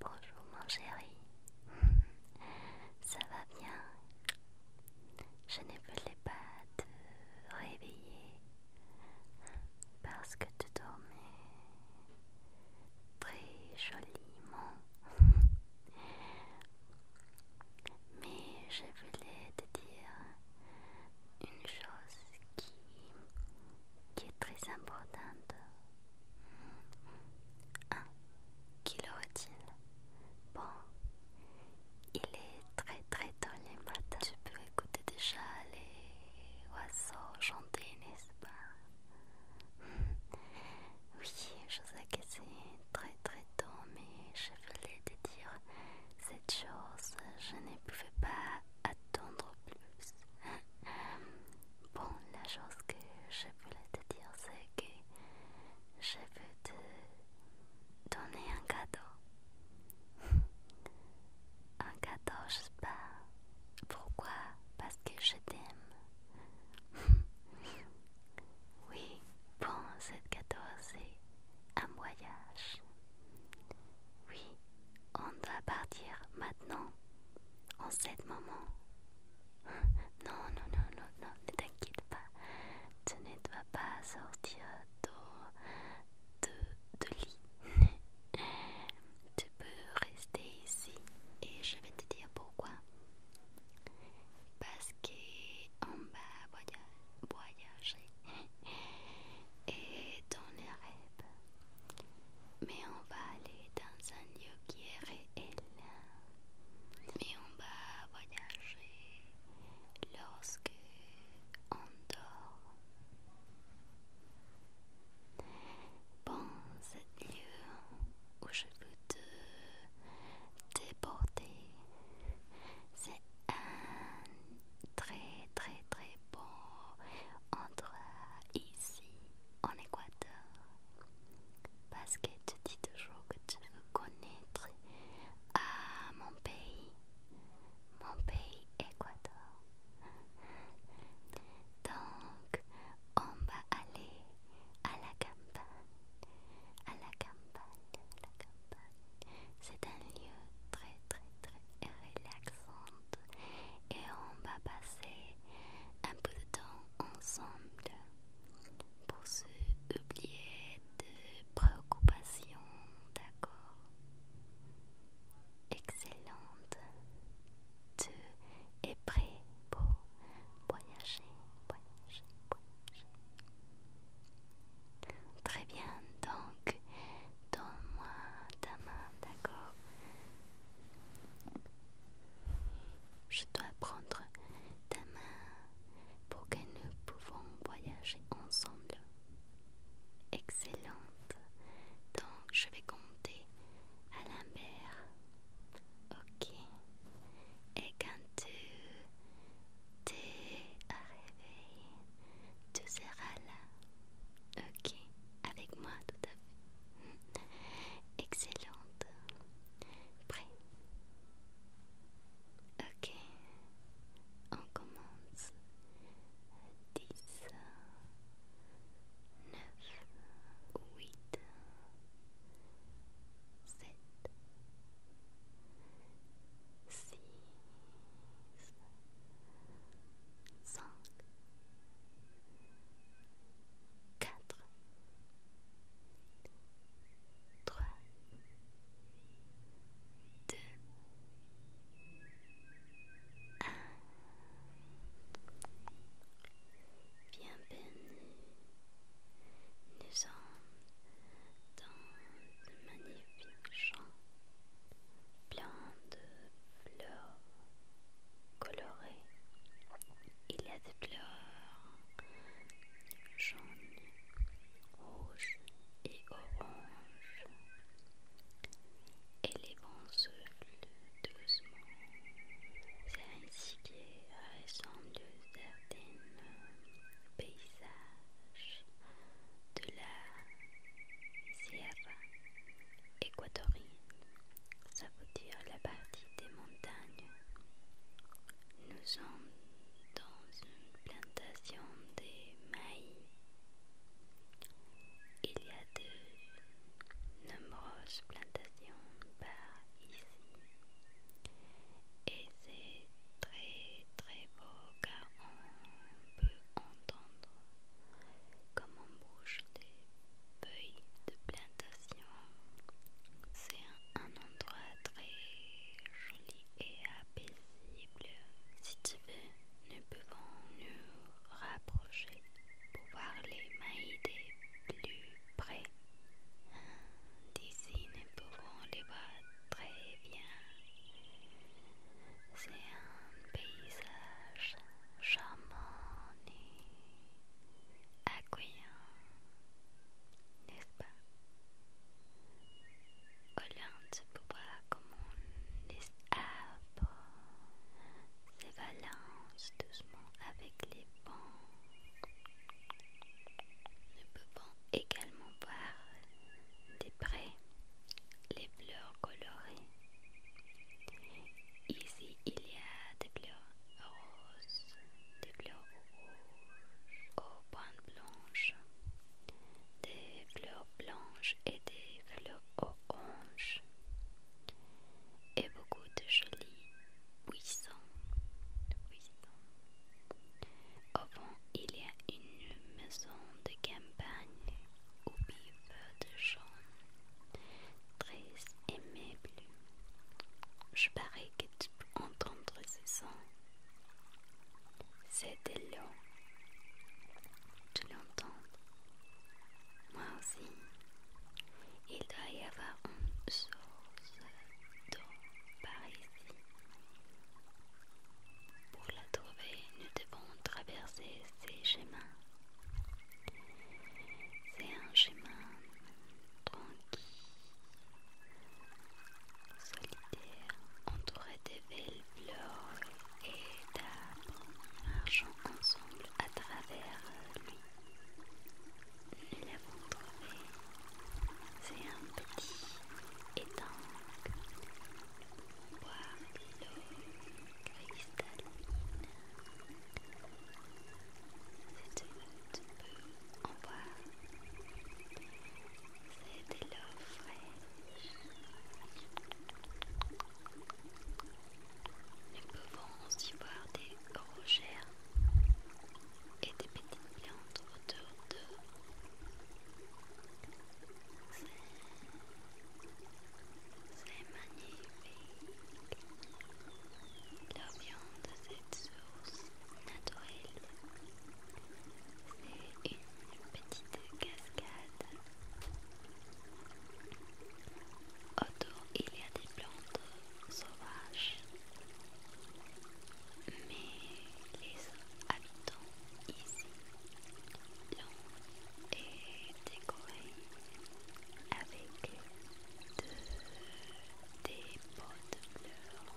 Bonjour mon chéri, ça va bien Je ne voulais pas te réveiller parce que tu dormais très joliment. Mais je voulais te dire une chose qui qui est très importante. 1. Qui laurait il Bon, il est très très tôt les matins. Tu peux écouter déjà les oiseaux chanter, n'est-ce pas Oui, je sais que c'est très très tôt, mais je voulais te dire cette chose, je ne pouvais pas attendre plus. Bon, la chose que je voulais te dire, c'est que je veux te donner un cadeau. Un cadeau, je sais pas. Pourquoi Parce que je t'aime. Oui, bon, cette cadeau, c'est un voyage. Oui, on va partir maintenant, en ce moment. Non, non, non, non, non, ne t'inquiète pas. Tu ne dois pas sortir de, de, de lit. tu peux rester ici et je vais te dire pourquoi. Parce qu'on va voyager et dans les rêves. Mais on va aller dans un lieu qui est réel. Mais on va voyager lorsque on dort. Bon, c'est lieu où je veux te déporter, c'est un très très très bon endroit ici en Équateur parce que tu dis toujours que tu veux connaître à ah, mon pays, mon pays Équateur. Donc on va aller à la campagne, à la campagne, à la campagne. C'est un lieu très très très relaxant et on va passer un peu de temps ensemble pour se oublier de préoccupations, d'accord Excellente. Tu es prêt pour voyager, voyager, voyager. Très bien, donc Donne-moi ta main, d'accord Je dois prendre ta main pour que nous pouvons voyager ensemble. Excellente. Donc je vais compter à la Ok. Et quand tu t'es réveillé, tu seras là, ok, avec moi tout à fait. Excellente. Prêt Ok, on commence. 10, 9, 8, 7, six, cinq, quatre, trois, deux, un. Bienvenue, nous dans de magnifiques champs pleins de fleurs colorées. Il y a des fleurs jaunes, rouges et oranges. Et les vents doucement. C'est ainsi qu'il aux à des paysages de la Sierra équatorienne, ça veut dire la partie des montagnes. Nous sommes dans une plantation de maïs. Il y a de nombreuses plantations par ici. Et c'est très très beau car on peut entendre comme on bouge des feuilles de plantation. C'est un, endroit très joli et apaisable. Si tu veux, nous pouvons nous rapprocher pour voir les maïs des plus près. D'ici, nous pouvons les voir très bien. C'est un paysage charmant et accueillant, n'est-ce pas Hollande se bois comme des arbres, balance doucement avec les vents également voir des près les fleurs colorées. Ici, il y a des fleurs roses, des fleurs rouges aux pointes blanches, des fleurs blanches et des fleurs oranges, et beaucoup de jolis buissons. buissons. Au fond, il y a une maison de campagne au biveurs de gens très aimables. Je parie que tu peux entendre ce son. C'est de l'eau. Tu l'entends Moi aussi. Il doit y avoir une source par ici. Pour la trouver, nous devons traverser ces chemins. C'est un chemin tranquille, solitaire, entouré de belles fleurs et d'arbres marchant ensemble à travers lui nous l'avons trouvé. C'est un petit étang pour boire de l'eau cristalline. C'est tu peux en boire. C'est de l'eau fraîche. Nous pouvons aussi boire des rochers et des petites plantes autour d'eux. C'est magnifique. La viande de cette source naturelle, c'est une petite cascade. Autour, il y a des plantes sauvages. Mais les habitants ici et décorés avec des pots de fleurs.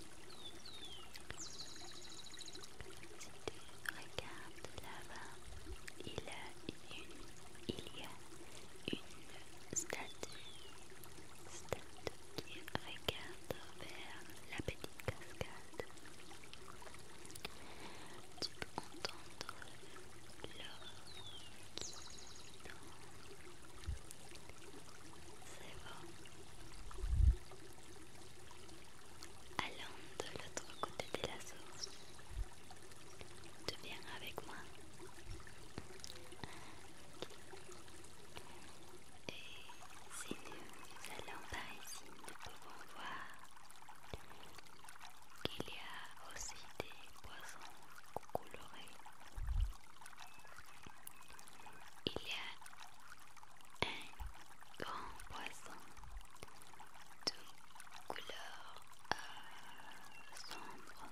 Si tu regardes là-bas, il, il y a une statue stade qui regarde vers la petite cascade. Tu peux entendre l'or qui C'est bon. Allons de l'autre côté de la source. Tu viens avec moi. Et si nous allons par ici, nous pouvons voir qu'il y a aussi des poissons colorés. Il y a un grand poisson de couleur euh, sombre sombres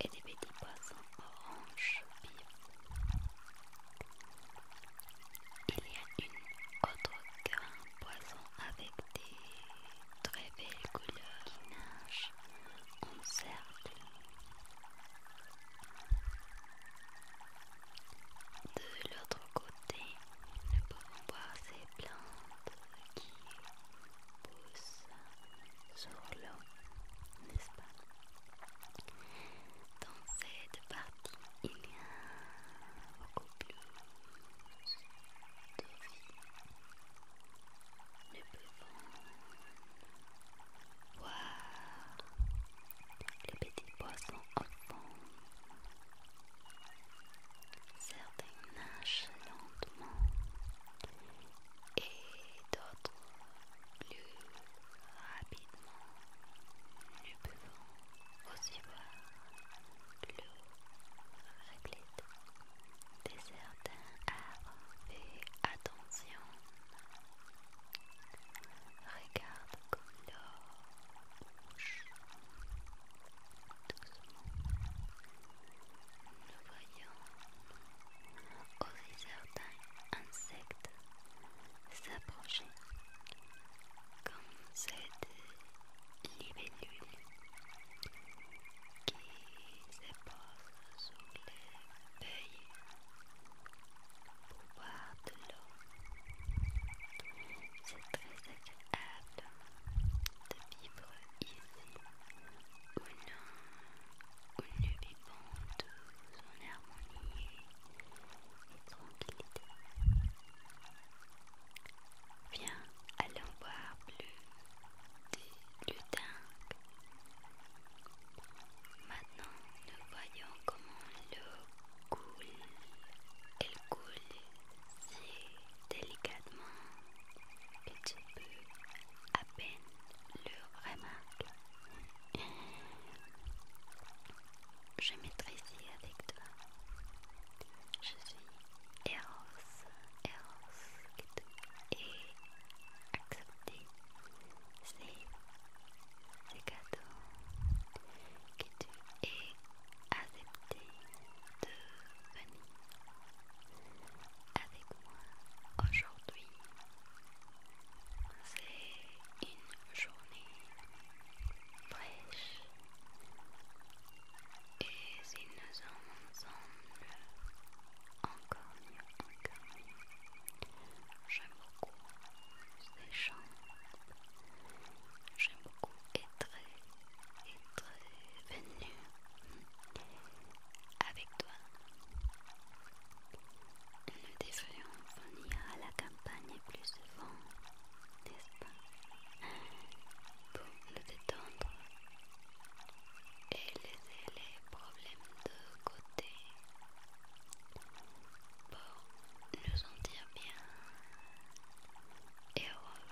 et des petits poissons orange vifs. Il y a une autre grande poisson avec des très belles couleurs qui nage en cercle de l'autre côté nous pouvons voir ces plantes qui pousse sur l'eau, n'est-ce pas Dans cette partie, il y a beaucoup plus de vie. Nous pouvons voir les petits poissons enfants. Certains nagent lentement et d'autres plus rapidement. Nous pouvons aussi voir l'eau réglette des certains arbres. attention. Regarde comme l'eau nous voyons aussi certains insectes s'approcher, comme cette libellule qui se pose sur les feuilles pour boire de l'eau. C'est très agréable de vivre ici une nous, vivante, en harmonie et tranquillité. Viens, allons voir plus de dingue. Maintenant, nous voyons comment l'eau coule. Elle coule si délicatement que tu peux à peine le remarquer. Je maîtrise avec toi. Je suis Eros, Eros, que tu est accepté C'est C'est cadeau, que tu accepter de venir avec moi aujourd'hui. C'est une journée fraîche et si nous ensemble, encore mieux, encore mieux. J'aime beaucoup ces chants, j'aime beaucoup est très, très venu avec toi. Nous devrions venir à la campagne plus souvent, n'est-ce pas Pour nous détendre et laisser les problèmes de côté pour nous sentir bien heureux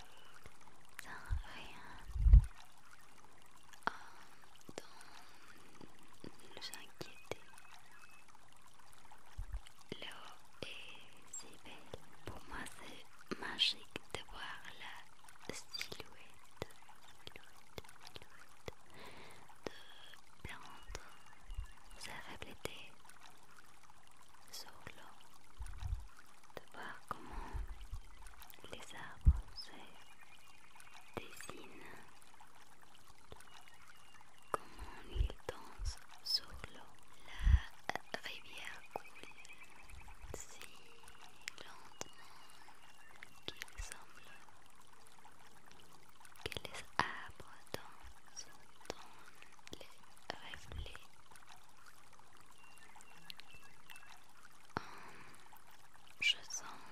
sans rien à dont nous inquiéter. Léo est si belle, pour moi c'est magique de voir la silhouette, de fait se sur l'eau, de voir comment les arbres se dessinent, comment ils dansent sur l'eau. La rivière coule si lentement qu'il semble que les arbres dansent dans je sens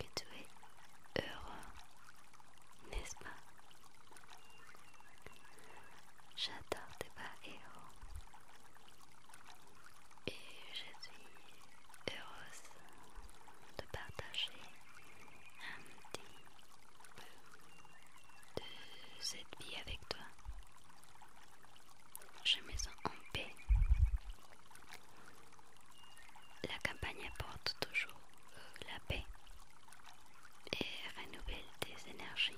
que tu es heureux n'est-ce pas j'adore tes bas héros et je suis heureuse de partager un petit de cette vie avec toi. Je me sens en paix. La campagne apporte toujours euh, la paix et renouvelle tes énergies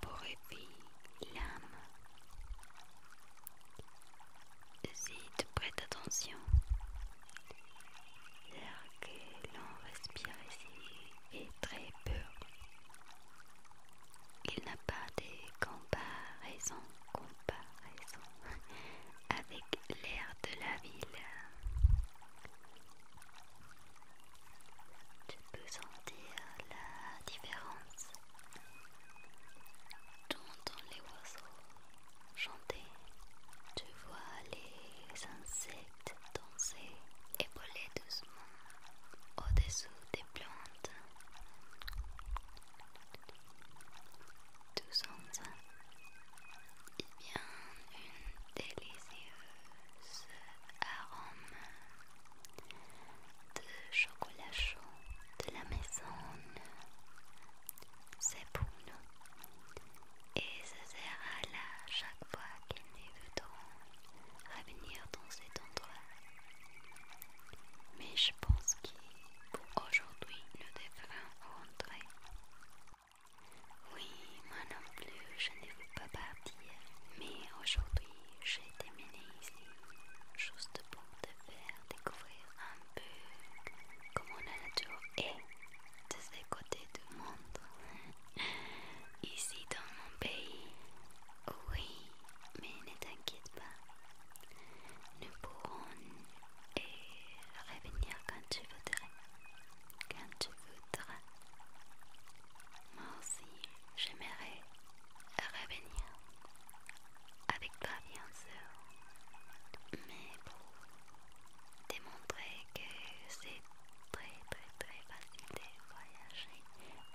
pour éveiller l'âme. Si tu prêtes attention, que l'on respire ici est très pur. Il n'a pas de comparaison, comparaison avec l'air de la ville. Tu peux sentir la différence. dans les oiseaux chanter. Tu vois les insectes danser et voler doucement au-dessous des plantes. Tous ensemble, il une délicieuse arôme de chocolat chaud de la maison. C'est pour nous et ce sera là chaque fois qu'il ne voudront revenir dans cet endroit. Mais je pense que pour aujourd'hui, nous devrons rentrer. Oui, moi non plus, je ne veux pas partir, mais aujourd'hui, j'ai terminé ici, juste pour te faire découvrir un peu comment la nature est de ces côtés du monde. Ici dans mon pays, oui, mais ne t'inquiète pas, nous pourrons et revenir quand tu voudras. Quand tu voudras. Moi aussi, j'aimerais revenir. Avec toi, bien sûr. Mais pour démontrer que c'est très très très facile de voyager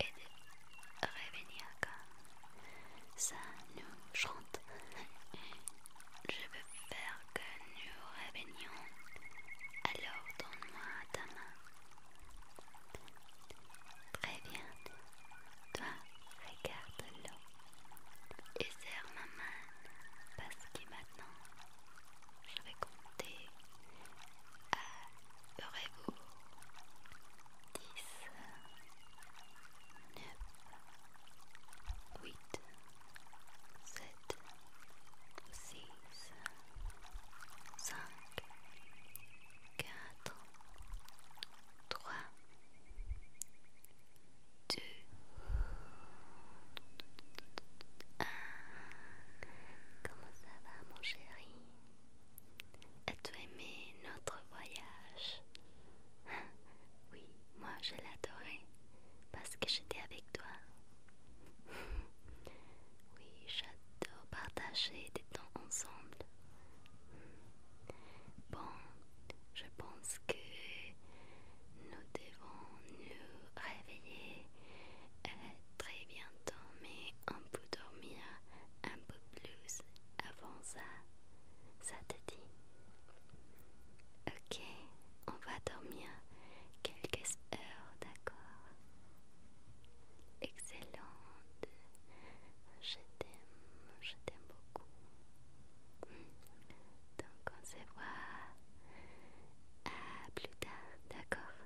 et de revenir comme ça nous chante. Je veux faire que nous revenions. Alors donne-moi ta main. Très bien. Toi, regarde l'eau. Et serre ma main parce que maintenant je vais compter à aurez-vous 10, 9, 8, 7, 6, 5, 4, 3 2 1 Comment ça va mon chéri As-tu aimé notre voyage hein? Oui, moi je l'adorais parce que j'étais avec toi. Oui, j'adore partager des temps ensemble. Bon, je pense que nous devons nous réveiller euh, très bientôt, mais un peu dormir un peu plus avant ça. Ça te dit Ok, on va dormir quelques heures, d'accord Excellente. Je t'aime, je t'aime beaucoup. Donc on se voit à plus tard, d'accord